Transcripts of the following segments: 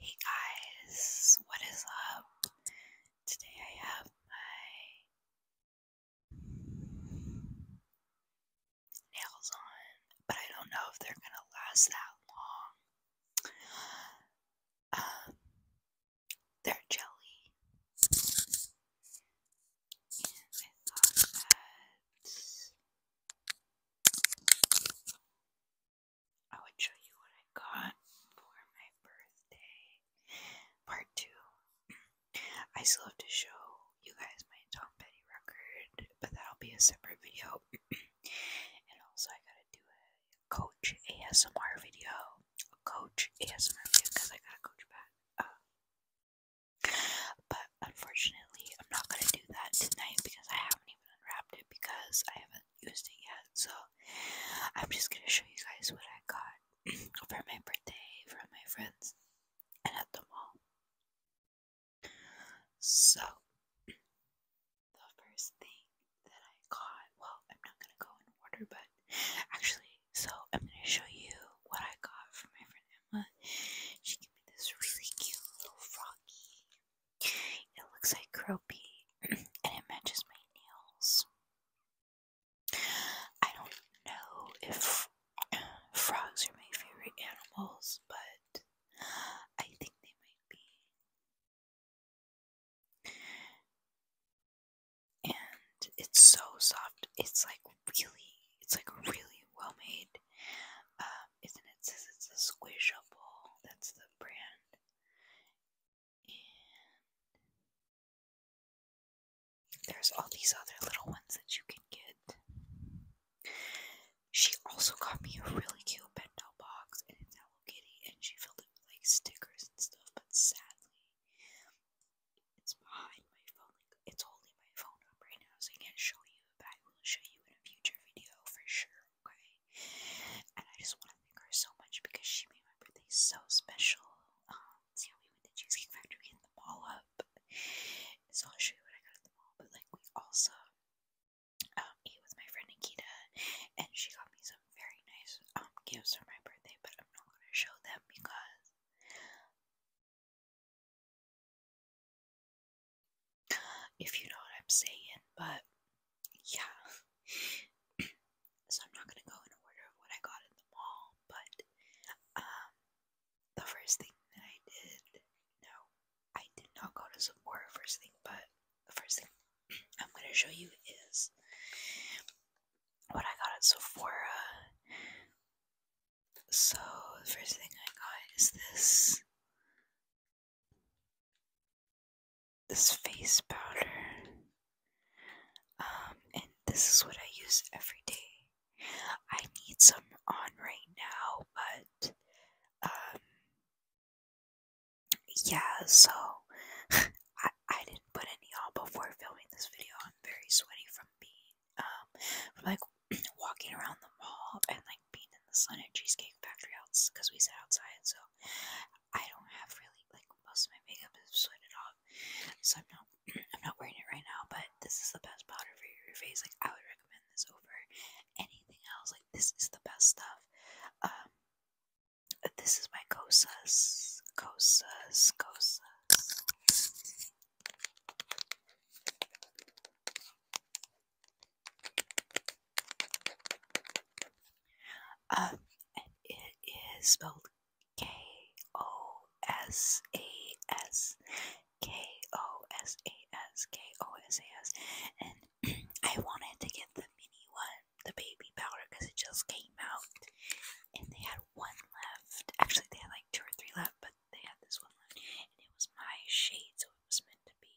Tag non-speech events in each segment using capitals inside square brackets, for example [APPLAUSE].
Hey guys, what is up? Today I have my nails on, but I don't know if they're gonna last that long. Um, they're jelly, I would show you what I got for my birthday. Part 2. I still have to show you guys my Tom Petty record, but that'll be a separate video. [CLEARS THROAT] and also, I gotta do a Coach ASMR video. A Coach ASMR video because I got a coach back. Uh, but unfortunately, I'm not gonna do that tonight because I haven't even unwrapped it because I haven't used it yet. So I'm just gonna show you guys what I got [CLEARS THROAT] for my birthday from my friends and at the mall. So [CLEARS THROAT] the first thing that I got, well, I'm not gonna go in order, but actually, so I'm gonna show you what I got from my friend Emma. She gave me this really cute little froggy it looks like croppy and it matches my nails. I don't know if frogs are my favorite animals, but I think they might be. And it's so soft. It's like really, it's like really well made. Um, isn't it? says it's a squishable. That's the brand. And there's all these other little ones that you can get. She also got me a really cute bento box, and it's Hello Kitty, and she filled it with like stickers and stuff. But sadly, it's behind my phone. it's holding my phone up right now, so I can't show you. But I will show you in a future video for sure. Okay. And I just want to thank her so much because she made my birthday so special. see we went to Cheesecake Factory and the mall up. So I'll show you what I got at the mall. But like we also um, ate with my friend Nikita and she got me some very nice um, gifts for my birthday, but I'm not gonna show them because if you know what I'm saying, but yeah. so I'm not gonna go in order of what I got in the mall, but um the first thing that I did no, I did not go to Sephora first thing, but the first thing [CLEARS THROAT] I'm gonna show you is what I got at Sephora. So the first thing I got is this this face powder. Um, and this is what I use every day. I need some on right now, but um, yeah, so [LAUGHS] I, I didn't put any on before filming this video. I'm very sweaty from being, um, like [CLEARS THROAT] walking around the mall and like like being in the sun at Cheesecake Factory outs because we sat outside, so I don't have really like most of my makeup is sweated off, so I'm not [CLEARS THROAT] I'm not wearing it right now. But this is the best powder for your face. Like I would recommend this over anything else. Like this is the best stuff. Um, this is my Cosas, Cosas, Cosas. Um, and it is spelled K O S A S K O S A S K O S A S. And [CLEARS THROAT] I wanted to get the mini one, the baby powder, because it just came out, and they had one left. Actually, they had like two or three left, but they had this one left, and it was my shade, so it was meant to be.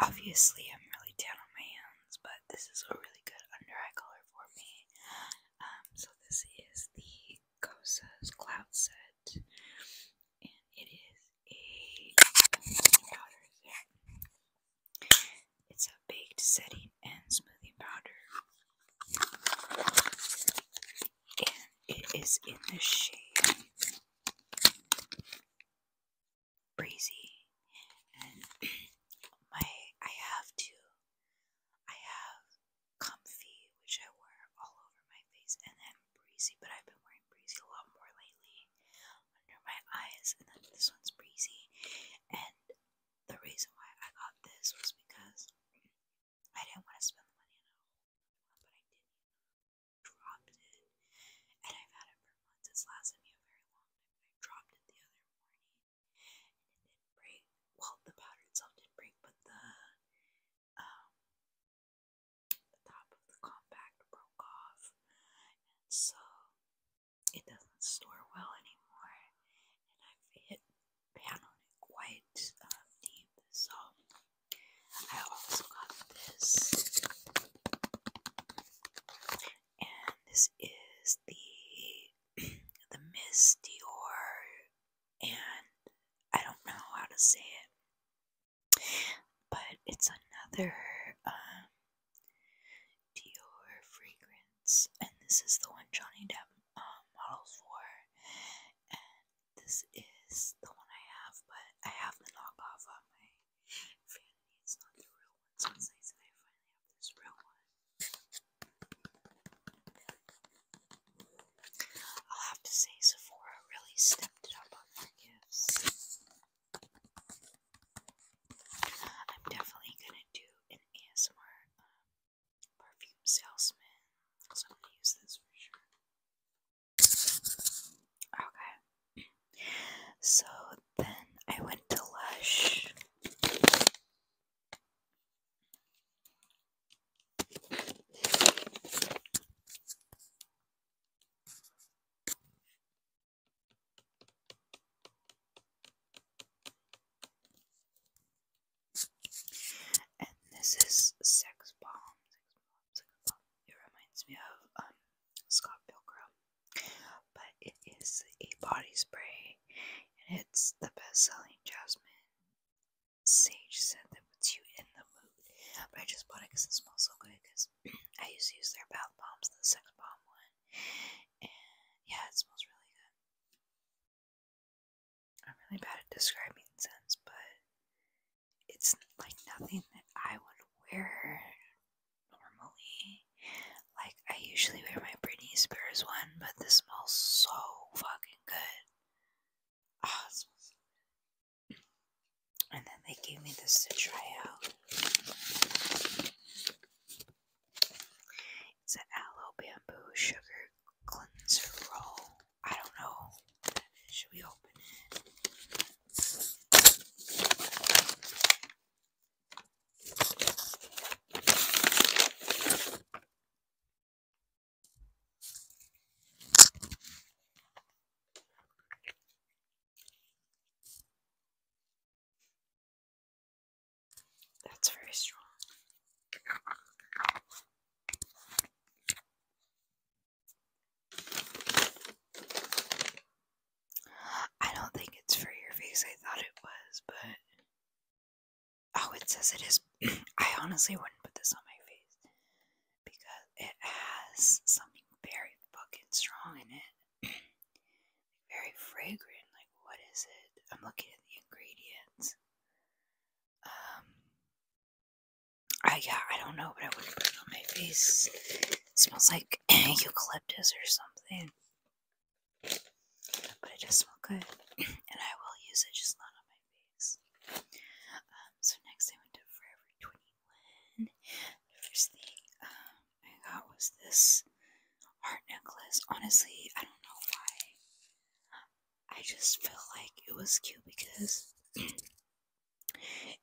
Obviously, I'm really down on my hands, but this is a really good under eye color for me. Um, so, this is the Gosa's Cloud Set, and it is a powder It's a baked setting and smoothing powder, and it is in the shade breezy and [CLEARS THROAT] my I have to I have comfy which I wear all over my face and then breezy but I've been wearing breezy a lot more lately under my eyes and then this one's breezy and the reason why I got this was because I didn't want to spend the money on a but I did dropped it, and I've had it for months. It's lasted me a very long time. I dropped it the other morning, and it didn't break. Well, the powder itself did break, but um, the top of the compact broke off, so it doesn't store well anymore. And I've hit pan on it quite um, deep, so. I also got this, and this is the [CLEARS THROAT] the Miss Dior, and I don't know how to say it, but it's another um, Dior fragrance, and this is the one Johnny Depp um, models for, this is the one I have, but I have the knockoff on my vanity. It's not the real one, so nice that I finally have this real one. I'll have to say Sephora really stepped it up on their gifts. I'm definitely gonna do an ASMR um, perfume salesman, so I'm gonna use this for sure. Okay. So then I went to Lush. And this is Sex Bomb. Oh, it reminds me of um, Scott Pilgrim, but it is a body spray, and it's the best-selling jasmine sage scent that puts you in the mood. But I just bought it because it smells so good. Because [CLEARS THROAT] I used to use their bath bombs, the sex bomb one, and yeah, it smells really good. I'm really bad at describing scents, but it's like nothing that I would wear normally. Like, I usually wear my Britney Spears one, but this smells so fucking good. Oh, And then they gave me this to try out. It's an aloe bamboo sugar cleanser roll. I don't know. Should we open it? That's very strong. I don't think it's for your face. I thought it was, but. Oh, it says it is. [CLEARS THROAT] I honestly wouldn't put this on my face because it has something very fucking strong in it. [CLEARS THROAT] very fragrant. Like, what is it? I'm looking at the ingredients. Um, I uh, yeah, I don't know, but I wouldn't put it on my face. smells like [CLEARS THROAT] eucalyptus or something. But it does smell good. [CLEARS THROAT] And I will use it just not on my face. Um, so next I went to Forever 21. first thing um, I got was this heart necklace. Honestly, I don't know why. I just felt like it was cute because [CLEARS THROAT]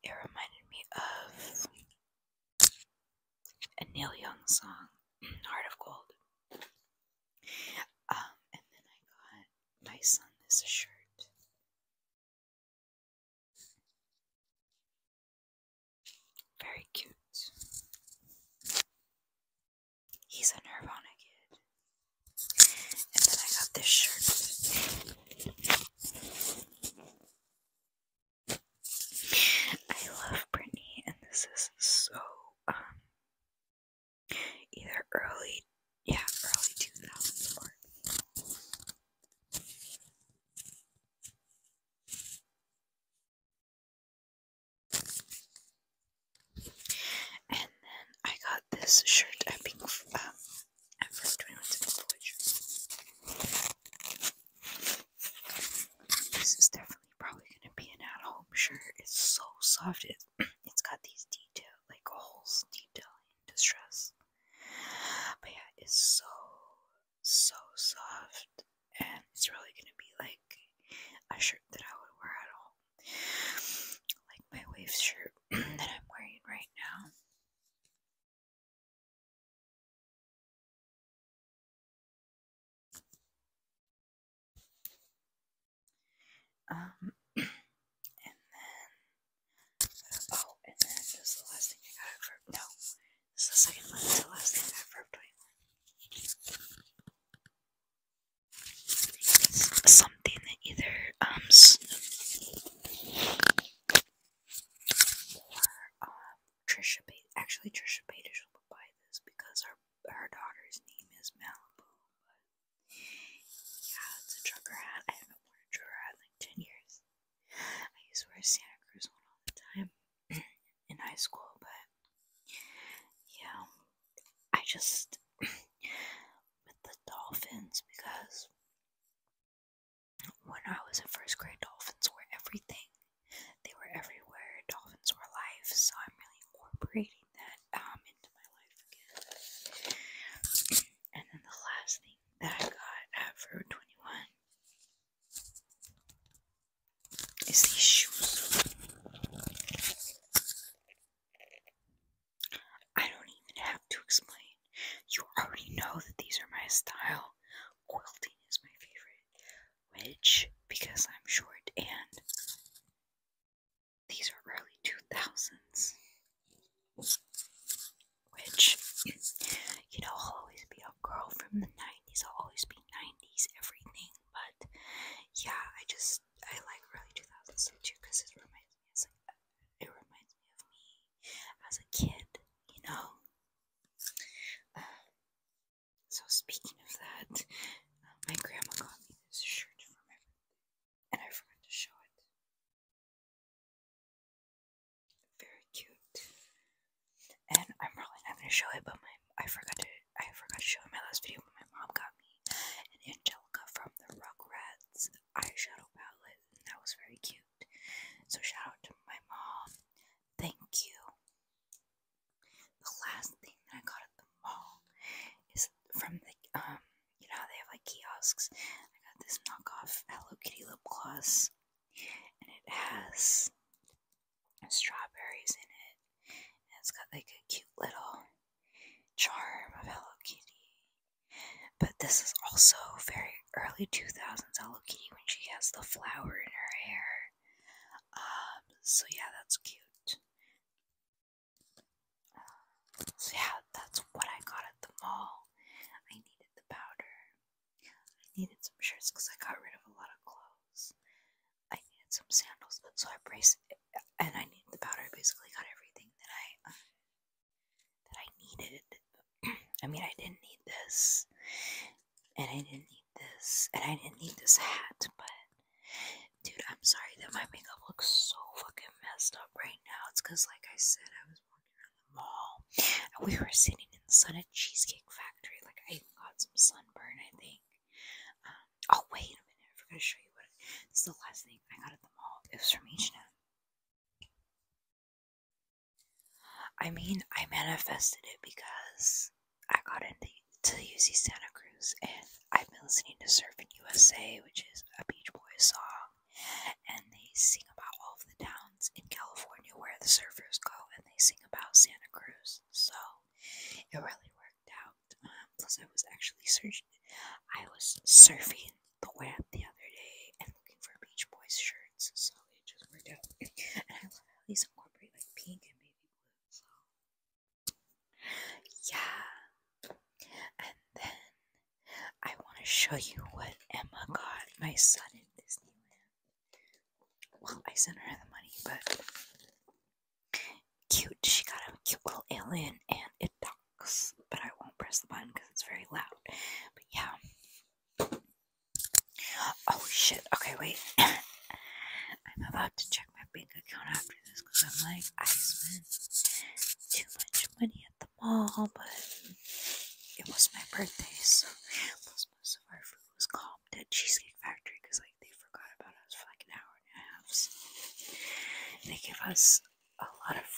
It reminded me of a Neil Young song, [CLEARS THROAT] Heart of Gold. Um, and then I got my son this shirt. Very cute. He's a Nirvana kid. And then I got this shirt. I love Britney, and this is so um either early, yeah, early two thousands And then I got this shirt at Pink, um, at first, we went to the Voyager. This is definitely probably going to be an at home shirt. It's so soft. It, [CLEARS THROAT] it's got these detail, like holes, detailing, distress. But yeah, it's so, so soft. And it's really going to be like a shirt that I would wear at home like my wave shirt [CLEARS THROAT] that I'm wearing right now. Um, [CLEARS THROAT] oh, and then this is the last thing I got for, no, this is the second one, the last thing I got for 21. something that either, um, Trisha Actually, Trisha Paytas will buy this because her her daughter's name is Malibu. yeah, it's a trucker hat. I haven't worn a trucker hat in ten years. I used to wear a Santa Cruz one all the time [CLEARS THROAT] in high school, but yeah, I just [CLEARS THROAT] with the dolphins because when I was in first grade, dolphins were everything. They were everywhere. Dolphins were life, so I'm really incorporating that um, into my life again. And then the last thing that I got at Forever 21 is these shoes. I don't even have to explain. You already know that these are my style. Quilting is my favorite, which, because I'm short and these are early 2000s, which, you know, I'll always be a girl from the 90s, I'll always be 90s everything, but yeah, I just, I like early 2000s too because it's it my. It reminds me of me as a kid, you know. Uh, so speaking of that, uh, my grandma got me this shirt for my birthday, and I forgot to show it. Very cute, and I'm probably not gonna show it, but my I forgot to I forgot to show in my last video, but my mom got me an Angelica from the Rugrats eyeshadow palette, and that was very cute. So, shout out to my mom. Thank you. The last thing that I got at the mall is from the, um, you know, they have like kiosks. I got this knockoff Hello Kitty lip gloss, and it has strawberries in it. And it's got like a cute little charm of Hello Kitty but this is also very early 2000s Hello Kitty when she has the flower in her hair. Um, so yeah, that's cute. so yeah, that's what I got at the mall. I needed the powder. I needed some shirts because I got rid of a lot of clothes. I needed some sandals, so I braced and I needed the powder. basically got everything that I um, that I needed. [CLEARS THROAT] I mean, I didn't need this, and I didn't need this, and I didn't need this hat, but dude, I'm sorry that my makeup looks so fucking messed up right now. It's because, like I said, I was walking at the mall, and we were sitting in the sun at Cheesecake Factory. Like, I even got some sunburn, I think. Um, oh, wait a minute, I forgot to show you what. It, the last thing I got at the mall. It was from H&M. I mean, I manifested it because I got into to UC Santa Cruz and I've been listening to Surfing USA, which is a Beach Boys song, and they sing about all of the towns in California where the surfers go and they sing about Santa Cruz. So it really worked out. Um, plus, I was actually searching. I was surfing the web the other day and looking for Beach Boys shirts, so it just worked out. [LAUGHS] And I love how these incorporate like pink and baby blue. So yeah, and then I want to show you what Emma got my son in Disneyland. Well, I sent her the money, but cute. She got a cute little alien and it but I won't press the button because it's very loud. But yeah. Oh shit. Okay, wait. [COUGHS] I'm about to check my bank account after this because I'm like, I spent too much money at the mall, but it was my birthday, so plus most of our food was called at Cheesecake Factory because like they forgot about us for like an hour and a half. they gave us a lot of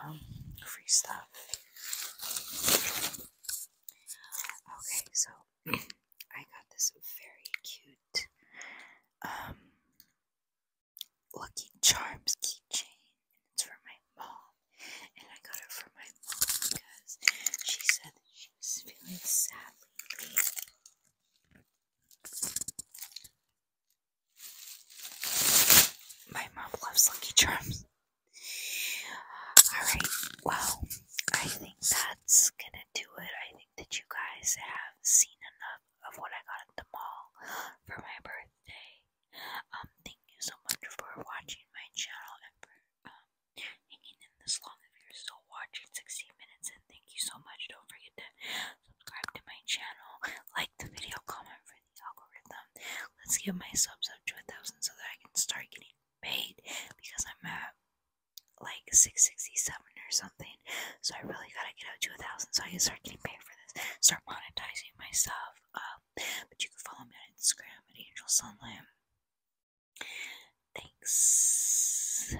um, free stuff. Okay, so I got this very cute um, Lucky Charms keychain, and it's for my mom. And I got it for my mom because she said that she was feeling sad lately. My mom loves Lucky Charms. Alright, well, I think that's gonna do it. I think that you guys have seen enough of what I got at the mall for my birthday. Um, thank you so much for watching my channel and for um, hanging in this long. If you're still watching 16 minutes, and thank you so much. Don't forget to subscribe to my channel, like the video, comment for the algorithm. Let's get my subs up to a thousand so that I can start getting paid because I'm at like 667 or something. So I really gotta get up to a thousand so I can start getting paid for this, start monetizing myself. Um, but you can follow me on Instagram at Angel Sunlight. Thanks.